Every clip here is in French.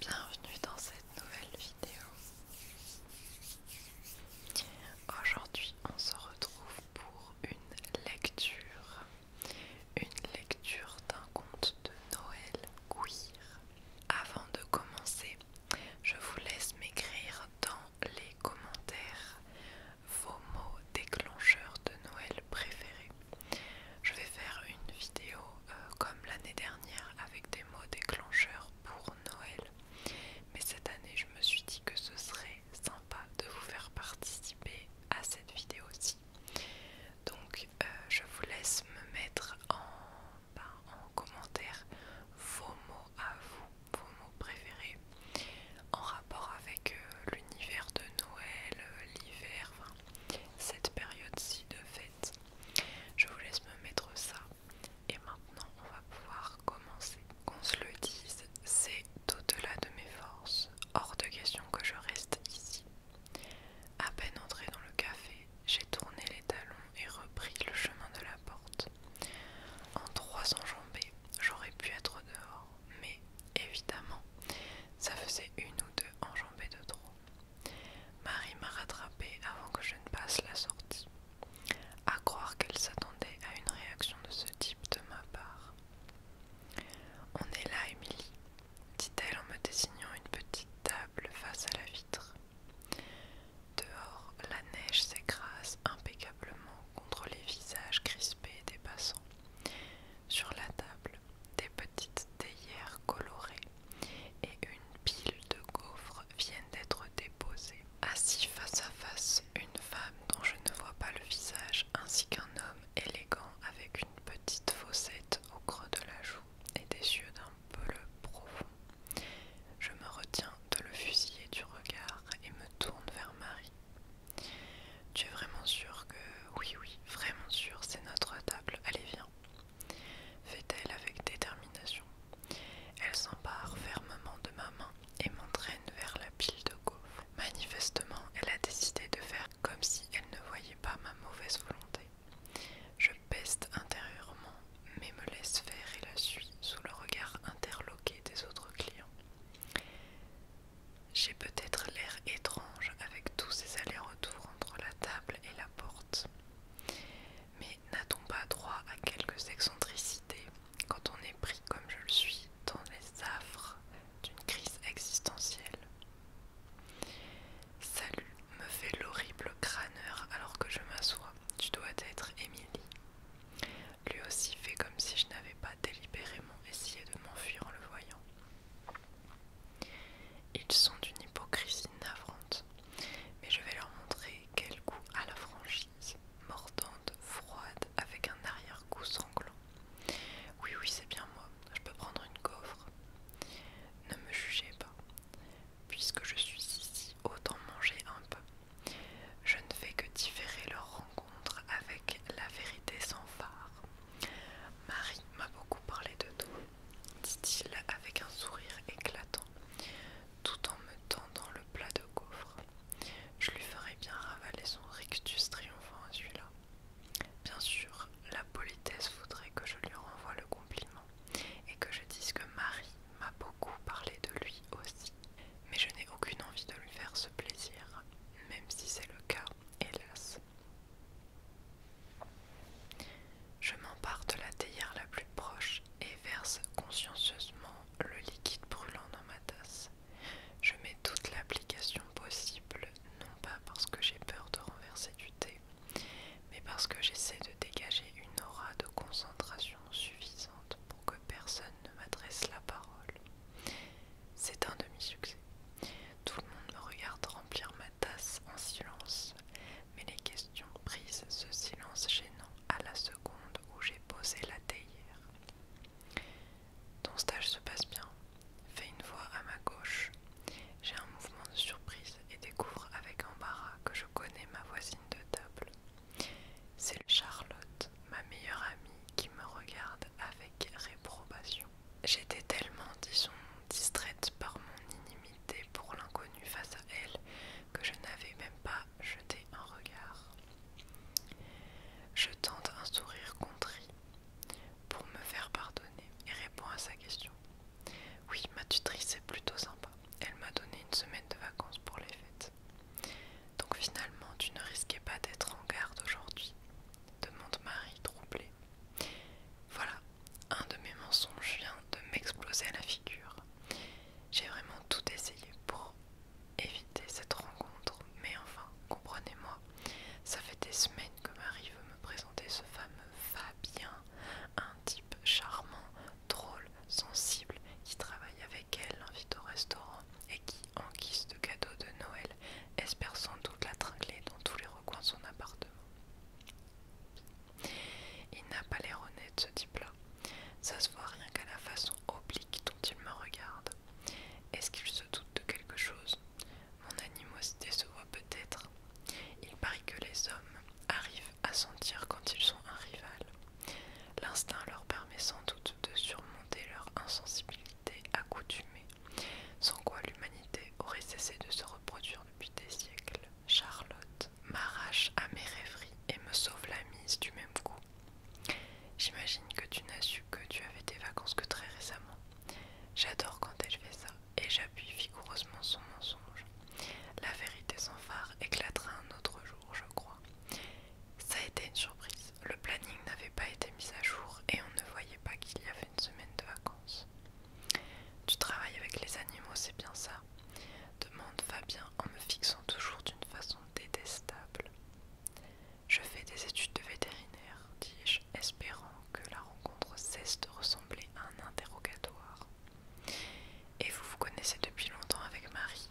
Bienvenue dans cette nouvelle vidéo. Aujourd'hui, on se retrouve pour une lecture, une lecture d'un conte de Noël Queer. Avant de commencer, je vous laisse m'écrire dans les commentaires vos mots déclencheurs de Noël préférés. Je vais faire une vidéo euh, comme l'année dernière avec des mots déclencheurs pour Noël. Mais cette année, je me suis dit que ce serait sympa de vous faire participer à cette vidéo-ci. Donc, euh, je vous laisse me mettre en ben, commentaire vos mots à vous vos mots préférés en rapport avec euh, l'univers de Noël, euh, l'hiver, enfin, cette période-ci de fête. Je vous laisse me mettre ça. Et maintenant, on va pouvoir commencer. Qu'on se le dise, c'est au-delà de mes forces, hors de question que je reste ici. À peine entrée dans le café, j'ai tourné les talons et repris le chemin de la porte. En trois enjambées, j'aurais pu être dehors, mais évidemment, ça faisait une ou deux enjambées de trop. Marie m'a rattrapée avant que je ne passe la sortie. À croire qu'elle s'attendait à une réaction de ce type de ma part. On est là, Émilie, dit-elle en me désignant une petite table face à la vitre. Dehors, la neige s'écrase impeccablement contre les visages crispés des passants. Sur la table, des petites théières colorées et une pile de gaufres viennent d'être déposées. Assis face à face, une femme dont je ne vois pas le visage ainsi qu'un homme élégant avec une petite fossette au creux de la joue et des yeux d'un peu profond. Je me retiens de le fusiller du regard et me tourne vers Marie. Tu es vraiment sûre que... Oui, oui, vraiment sûre, c'est notre table. Allez, viens. Fait-elle avec détermination. Elle s'empare fermement de ma main et m'entraîne vers la pile de gaufres. Manifestement, elle a décidé de faire comme si elle ne voyait pas ma mauvaise volonté. Je peste intérieurement, mais me laisse faire et la suit sous le regard interloqué des autres clients. J'ai peut-être l'air étrange avec tous ces allers-retours entre la table et la porte. Mais n'a-t-on pas droit à quelques excentricités quand on est pris comme je le suis dans les affres d'une crise existentielle Salut, me fait l'horrible crâneur alors que je m'assois. Tu dois être Émilie. Lui aussi fait comme si je n'avais pas délibérément essayé de m'enfuir en le voyant. Ils sont d'une hypocrisie navrante, mais je vais leur montrer quel goût à la franchise, mordante, froide, avec un arrière-goût sanglant. Oui, oui, c'est bien moi, je peux prendre une coffre. Ne me jugez pas. Puisque je suis ici, autant manger un peu. Je ne fais que différer leur rencontre avec la vérité sans phare. Marie m'a beaucoup parlé de toi, dit-il avec un sourire éclatant, tout en me tendant le plat de gaufres. Je lui ferai bien ravaler son rictus triomphant à celui-là. Bien sûr, la politesse voudrait que je lui renvoie le compliment et que je dise que Marie m'a beaucoup parlé de lui aussi, mais je n'ai aucune envie de lui faire ce plaisir, même si c'est le cas, hélas. Je m'empare de la théière la plus proche et verse consciencieusement le liquide brûlant dans ma tasse. Je mets toute l'application possible, non pas parce que j'ai peur de renverser du thé, mais parce que j'essaie de dégager une aura de concentration suffisante pour que personne ne m'adresse la parole. C'est un demi-succès. Tout le monde me regarde remplir ma tasse en silence, mais les questions brisent ce silence gênant à la seconde où j'ai posé la théière. Ton stage se passe bien. Fais une voix à ma gauche. J'ai un mouvement de surprise et découvre avec embarras que je connais ma voisine de table. C'est Charlotte, ma meilleure amie, qui me regarde avec réprobation. J'étais tellement, disons, distraite par mon inimité pour l'inconnu face à elle que je n'avais même pas jeté un regard. Je tente un sourire contrit pour me faire pardonner et réponds à sa question. Oui, ma tutrice est plutôt sympa. Elle m'a donné une semaine de vacances pour les fêtes. Donc finalement, tu ne risquais pas d'être en garde aujourd'hui demande Marie troublée. Voilà, un de mes mensonges vient de m'exploser à la figure. J'ai vraiment tout essayé pour éviter cette rencontre, mais enfin, comprenez-moi, ça fait des semaines que Marie veut me présenter ce fameux Fabien, un type charmant, drôle, sensible, qui travaille avec qu'elle au restaurant et qui, en guise de cadeau de Noël, espère sans doute la tringler dans tous les recoins de son appartement. Il n'a pas l'air honnête, ce type-là. Ça se voit rien qu'à la façon oblique dont il me regarde. Est-ce qu'il se doute de quelque chose Mon animosité se voit peut-être. Il paraît que les hommes arrivent à sentir quand ils sont un rival. L'instinct leur permet sans doute de surmonter leur insensibilité accoutumée, sans quoi l'humanité aurait cessé de se reproduire depuis des siècles. Charlotte m'arrache à mes rêveries et me sauve la mise du même coup. J'imagine que tu n'as su que tu avais des vacances que très récemment. J'adore quand elle fait ça et j'appuie vigoureusement son mensonge. La vérité sans phare éclatera un autre jour, je crois. Ça a été une surprise. Le planning n'avait pas été mis à jour et on ne voyait pas qu'il y avait une semaine de vacances. Tu travailles avec les animaux, c'est bien ça demande Fabien en me fixant toujours d'une façon détestable. Je fais des études de vétérinaire, dis-je, espérant que la rencontre cesse de ressembler à un interrogatoire et vous vous connaissez depuis longtemps avec Marie.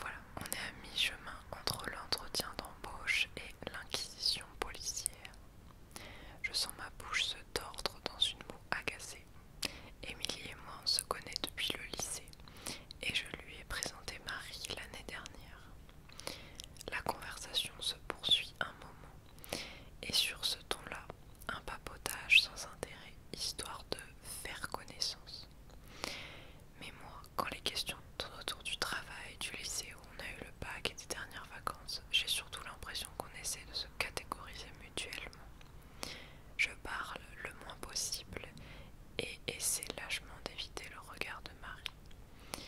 Voilà, on est à mi-chemin entre l'entretien d'embauche et l'inquisition policière. Je sens ma bouche se tordre dans une moue agacée. Émilie et moi on se connaît depuis le lycée et je lui ai présenté Marie l'année dernière. La conversation se poursuit un moment et sur ce ton-là, un papotage sans intérêt, histoire de faire connaissance. Mais moi, quand les questions tournent autour du travail, du lycée où on a eu le bac et des dernières vacances, j'ai surtout l'impression qu'on essaie de se catégoriser mutuellement. Je parle le moins possible et essaie lâchement d'éviter le regard de Marie.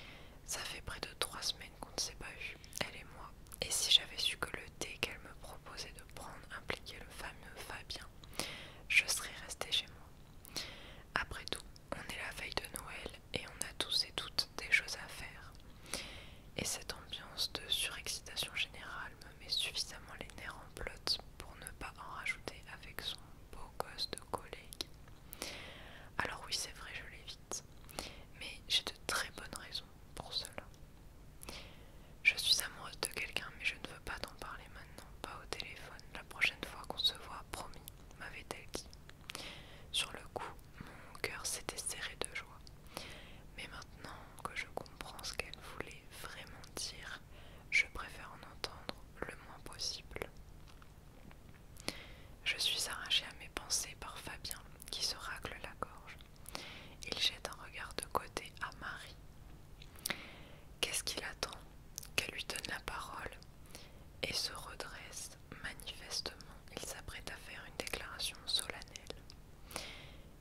Ça fait près de trois semaines qu'on ne s'est pas vu, elle et moi, et si j'avais su que le thé qu'elle me proposait de prendre impliquait le fameux Fabien je serais restée chez moi. Après tout, on est la veille de Noël et on a tous et toutes des choses à faire. Et cette ambiance de surexcitation générale me met suffisamment les nerfs en pelote pour ne pas en rajouter avec son beau gosse de collègue. Alors oui, c'est vrai, je l'évite, mais j'ai de très bonnes raisons pour cela. Je suis amoureuse de quelqu'un, mais je ne veux pas t'en parler maintenant, pas au téléphone. La prochaine fois qu'on se voit, promis, m'avait-elle dit. Sur le coup, mon cœur s'était serré de joie. Mais maintenant que je comprends ce qu'elle voulait vraiment dire, je préfère en entendre le moins possible. Je suis arrachée à mes pensées par Fabien, qui se racle la gorge. Il jette un regard de côté à Marie. Qu'est-ce qu'il attend Qu'elle lui donne la parole et se redresse. Manifestement, il s'apprête à faire une déclaration solennelle.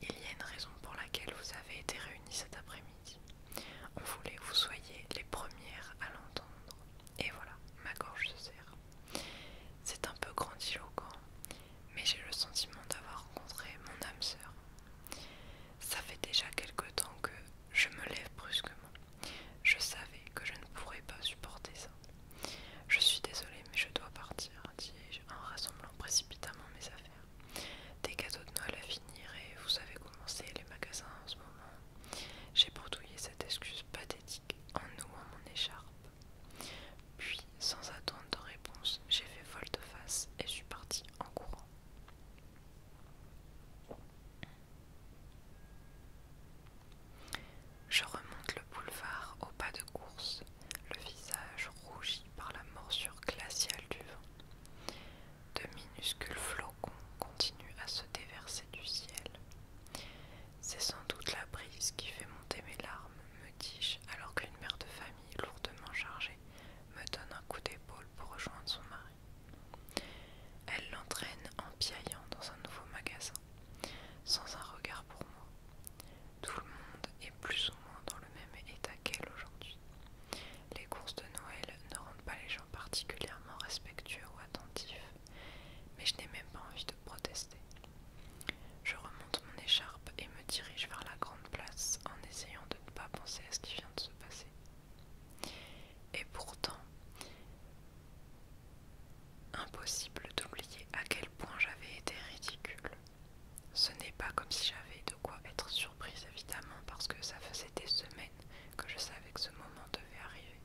Il y a une raison pour laquelle vous avez été réunis cet après-midi. On voulait que vous soyez les premières à l'entendre. Et voilà, ma gorge se serre. C'est un peu grandiloquent, mais j'ai le sentiment d'avoir rencontré mon âme sœur. Ça fait déjà quelque temps que je me lève brusquement. Je savais que je ne pourrais pas supporter ça. Je suis désolée, mais je dois partir, dis-je en rassemblant précipitamment mes affaires. Des cadeaux de Noël à finir et vous savez comment c'est les magasins en ce moment. J'ai bourdouillé cette excuse pathétique en nouant mon écharpe sans attendre de réponse, j'ai fait de face et je suis partie en courant. Je remonte le boulevard au pas de course, le visage rougi par la morsure glaciale du vent. De minuscules flocons continuent à se déverser du ciel. C'est sans doute la brise qui fait monter mes larmes, me dis-je, alors qu'une mère de famille lourdement chargée me donne un coup d'épaule pour rejoindre son mari. Elle l'entraîne en piaillant dans un nouveau magasin, sans un regard pour moi. Tout le monde est plus ou moins dans le même état qu'elle aujourd'hui. Les courses de Noël ne rendent pas les gens particulièrement respectueux ou attentifs, mais je n'ai même pas envie de protester. Je remonte mon écharpe et me dirige vers la grande place en essayant de ne pas penser à ce qui vient de se passer. Et pourtant, impossible d'oublier à quel point j'avais été ridicule. Ce n'est pas comme si j'avais de quoi être surprise évidemment parce que ça faisait des semaines que je savais que ce moment devait arriver.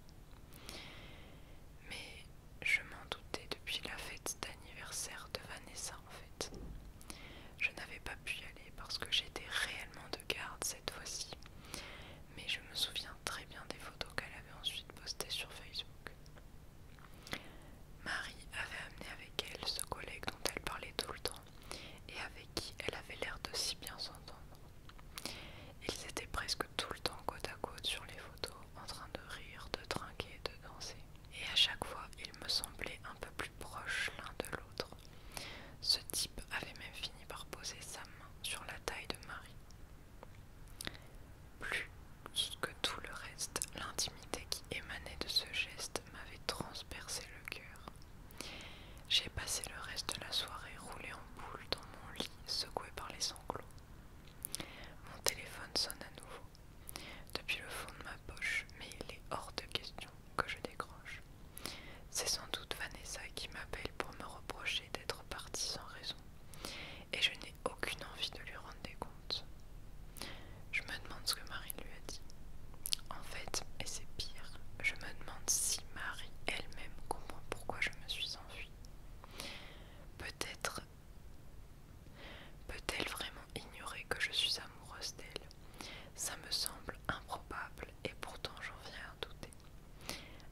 Mais je m'en doutais depuis la fête d'anniversaire de Vanessa en fait. Je n'avais pas pu y aller parce que j'étais réellement de garde cette fois-ci, mais je me souviens très bien des photos qu'elle avait ensuite postées sur Facebook. Marie avait amené avec elle ce collègue dont elle parlait tout le temps et avec qui elle avait l'air de si bien s'entendre. Ils étaient presque tout le temps côte à côte sur les photos en train de rire, de trinquer, de danser et à chaque fois ils me semblaient un peu plus proches l'un de l'autre. Ce type avait même fini par poser sa main sur la taille de Marie. Plus que tout le reste, l'intimité qui émanait de ce geste m'avait transpercé le cœur. J'ai passé le reste de la soirée roulée en boule dans mon lit, secouée par les sanglots. Mon téléphone sonne à nouveau depuis le fond de ma poche, mais il est hors de question que je décroche. C'est sans doute Vanessa qui m'appelle pour me reprocher d'être partie sans raison, et je n'ai aucune envie de lui rendre des comptes. Je me demande ce que Marie lui a dit. En fait, et c'est pire, je me demande si Marie elle-même comprend pourquoi je me suis enfuie. Peut-être peut-elle vraiment ignorer que je suis amoureuse d'elle. Ça me semble improbable et pourtant j'en viens à douter.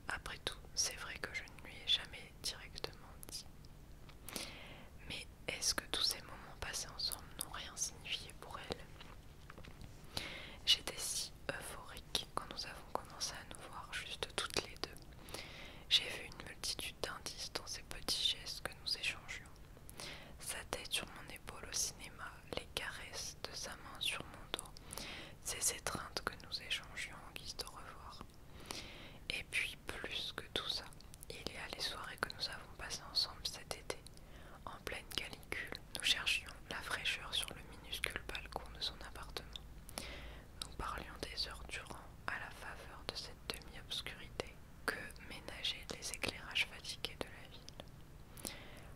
Après tout, c'est vrai que je ne lui ai jamais directement dit. Mais est-ce que tous ces moments passés ensemble n'ont rien signifié pour elle J'étais si euphorique quand nous avons commencé à nous voir juste toutes les deux. J'ai vu une multitude d'indices dans ces petits gestes que nous échangions. Sa tête sur mon épaule au cinéma, les caresses de sa main sur mon dos, ces étreintes que nous échangions en guise de revoir. Et puis, plus que tout ça, il y a les soirées que nous avons passées ensemble cet été. En pleine calicule, nous cherchions la fraîcheur sur le minuscule balcon de son appartement. Nous parlions des heures durant à la faveur de cette demi-obscurité que ménager les éclairages fatigués de la ville.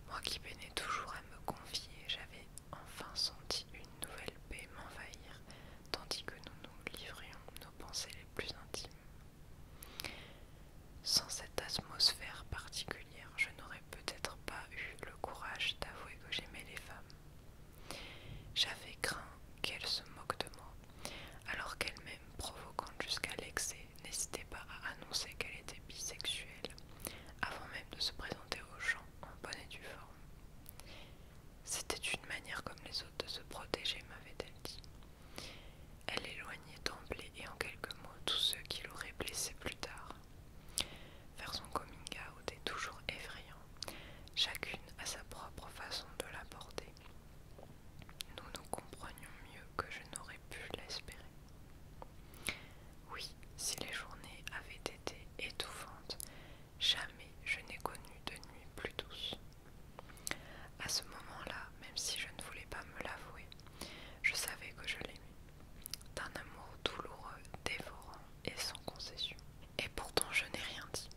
Moi qui peinais toujours à me confier, j'avais enfin senti une nouvelle paix m'envahir, tandis que nous nous livrions nos pensées les plus intimes. Sans cette atmosphère particulière, je n'aurais peut-être pas eu le courage d'avouer que j'aimais les femmes. J'avais craint qu'elles se moquent de moi, alors qu'elles Provoquante jusqu'à l'excès, n'hésitait pas à annoncer qu'elle était bisexuelle, avant même de se présenter aux gens en bonne et due forme. C'était une manière comme les autres de se protéger, m'avait-elle dit. Elle éloignait d'emblée et en quelques mots tous ceux qui l'auraient blessée plus tard. Faire son coming out est toujours effrayant, chacune à sa propre façon de l'aborder. Nous nous comprenions mieux que je n'aurais pu l'espérer. Oui, si les journées avaient été étouffantes, jamais je n'ai connu de nuit plus douce. À ce moment-là, même si je ne voulais pas me l'avouer, je savais que je l'aimais, d'un amour douloureux, dévorant et sans concession. Et pourtant je n'ai rien dit.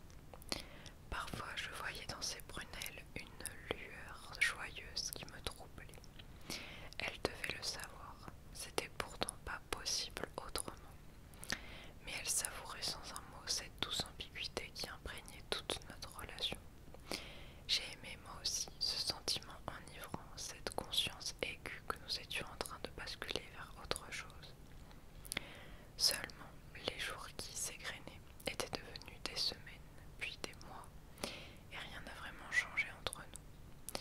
Parfois je voyais dans ses prunelles une lueur joyeuse qui me troublait. Elle devait le savoir, c'était pourtant pas possible autrement. Mais elle savourait sans un mot cette douce ambiguïté qui imprégnait toute notre relation. J'ai aimé moi aussi ce sentiment enivrant, cette conscience aiguë que nous étions en train de basculer vers autre chose. Seulement, les jours qui s'égrenaient étaient devenus des semaines, puis des mois, et rien n'a vraiment changé entre nous.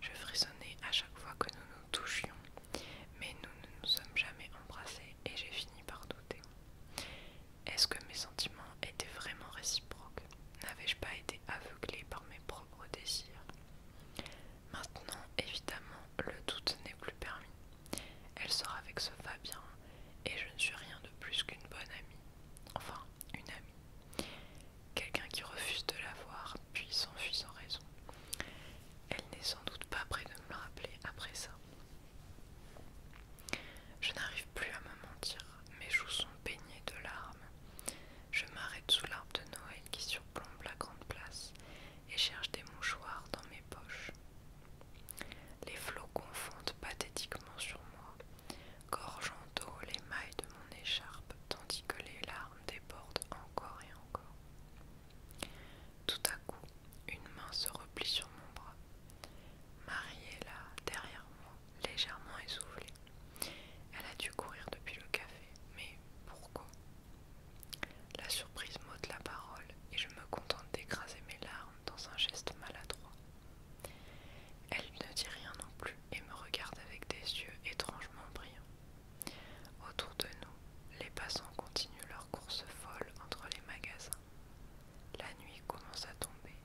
Je frissonnais à chaque fois que nous nous touchions, mais nous ne nous sommes jamais embrassés et j'ai fini par douter. Est-ce que mes sentiments étaient vraiment réciproques N'avais-je pas été aveuglé par mes propres désirs Maintenant, évidemment, le doute n'est plus permis. Elle sort avec ce Fabien et je ne suis rien de plus qu'une bonne amie. Enfin, une amie. Quelqu'un qui refuse de la voir puis s'enfuit sans raison. Elle n'est sans doute pas près de me le rappeler après ça. Je n'arrive plus à me mentir, mes joues sont baignées de larmes. Je m'arrête sous l'arbre de Noël qui surplombe la grande place et cherche des mouchoirs dans mes poches. Les flots confondent pathétiquement sur moi, gorgeant d'eau les mailles de mon écharpe, tandis que les larmes débordent encore et encore. Tout à coup, une main se replie sur mon bras. Marie est là, derrière moi, légèrement essoufflée. Elle a dû courir depuis le café, mais pourquoi la surprise m'ôte la parole et je me contente d'écraser mes larmes dans un geste maladroit. Elle ne dit rien non plus et me regarde avec des yeux étrangement brillants. Autour de nous, les passants continuent leur course folle entre les magasins. La nuit commence à tomber,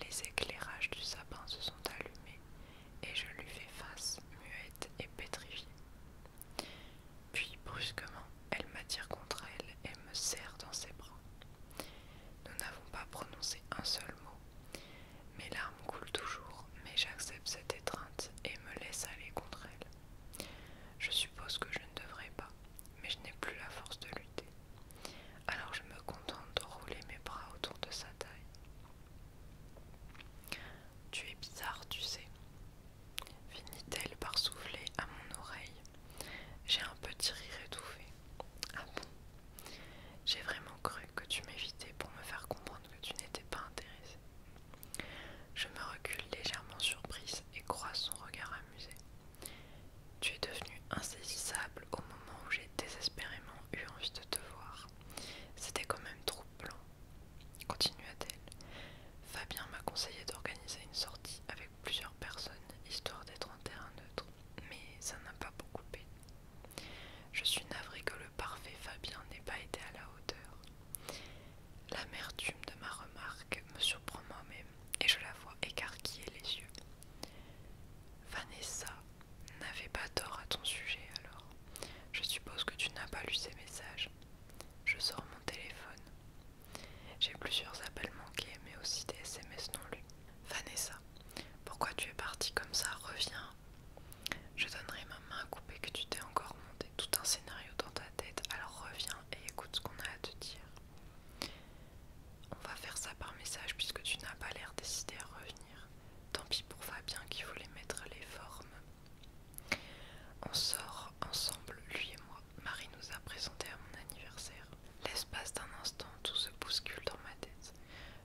les éclairages du sapin se sont allumés et je lui fais face, muette et pétrifiée. Puis brusquement, elle m'attire contre elle et me serre dans ses bras. Nous n'avons pas prononcé un seul mot. Mes larmes coulent toujours, mais j'accepte cette étreinte et me laisse aller contre elle. Je suppose que je ne devrais pas, mais je n'ai plus la force de lutter. Alors je me contente de rouler mes bras autour de sa taille. Tu es bizarre, tu sais, finit-elle par souffler à mon oreille. J'ai un petit rire étouffé. Ah bon J'ai vraiment cru que tu m'évitais pour me faire comprendre que tu n'étais pas intéressée. Je me recule légèrement surprise et croise son regard amusé. Tu es devenu insaisissable au moment où j'ai désespérément eu envie de te voir. C'était quand même troublant continua-t-elle. Fabien m'a conseillé d'organiser une sortie avec plusieurs personnes, histoire d'être en terrain neutre, mais ça n'a pas beaucoup payé. Je suis navrée que le parfait Fabien n'ait pas été à la hauteur. L'amertume de ma remarque me surprend moi-même et je la vois écarquiller les yeux. Vanessa n'avait pas tort à ton sujet alors. Je suppose que tu n'as pas lu ses messages. Je sors mon téléphone. J'ai plusieurs appels manqués, mais aussi des SMS non lus. Vanessa, pourquoi tu es partie comme ça Reviens. Je donnerai ma main à couper que tu t'es encore monté tout un scénario dans ta tête, alors reviens et écoute ce qu'on a à te dire. On va faire ça par message puisque tu n'as pas l'air décidé à revenir. Tant pis pour Fabien qui voulait mettre les formes. On sort ensemble, lui et moi. Marie nous a présenté à mon anniversaire. L'espace d'un instant, tout se bouscule dans ma tête.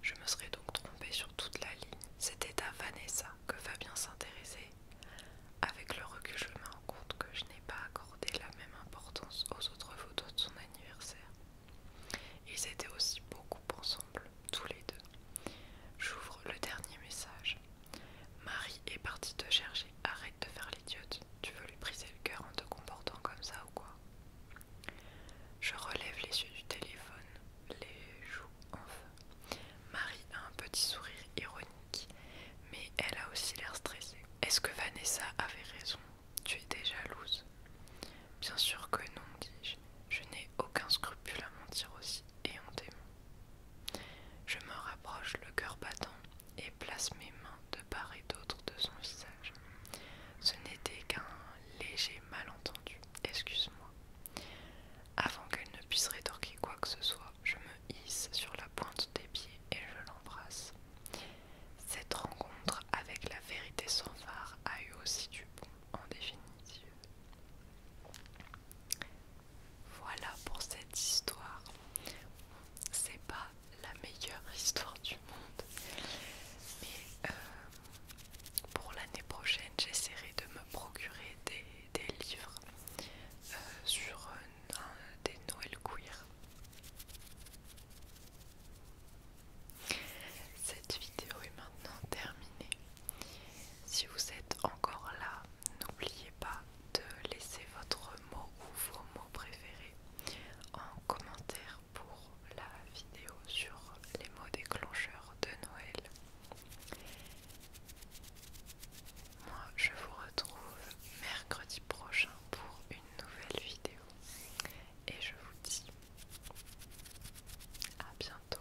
Je me serais donc trompée sur toute la ligne. C'était à Vanessa que Fabien s'intéressait. Avec le recul, je me rends compte que je n'ai pas accordé la même importance aux autres photos de son anniversaire. Ils étaient aussi beaucoup ensemble, tous les deux. J'ouvre le dernier message. Marie est partie te chercher, arrête de faire l'idiote. Tu veux lui briser le cœur en te comportant comme ça ou quoi Je relève les yeux du téléphone, les joues enfin. Marie a un petit sourire ironique, mais elle a aussi l'air stressée. Est-ce que Vanessa avait raison Tu étais jalouse Bien sûr que non, dis-je. Je, n'ai aucun scrupule à mentir aussi, et en je me rapproche le cœur battant et place mes mains de part et d'autre de son visage. Ce n'était qu'un léger malentendu, excuse-moi. Avant qu'elle ne puisse rétorquer quoi que ce soit, je me hisse sur la pointe des pieds et je l'embrasse. Cette rencontre avec la vérité sans phare a eu aussi du bon en définitive. Voilà pour cette histoire. C'est pas la meilleure histoire du monde, mais euh, pour l'année prochaine, j'essaierai de me procurer des, livres euh, sur euh, des Noël queer. Cette vidéo est maintenant terminée. Si vous êtes encore là, n'oubliez pas de laisser votre mot ou vos mots préférés en commentaire pour la vidéo sur les mots déclencheurs de Noël. Moi, je vous retrouve mercredi prochain pour une nouvelle vidéo et je vous dis à bientôt.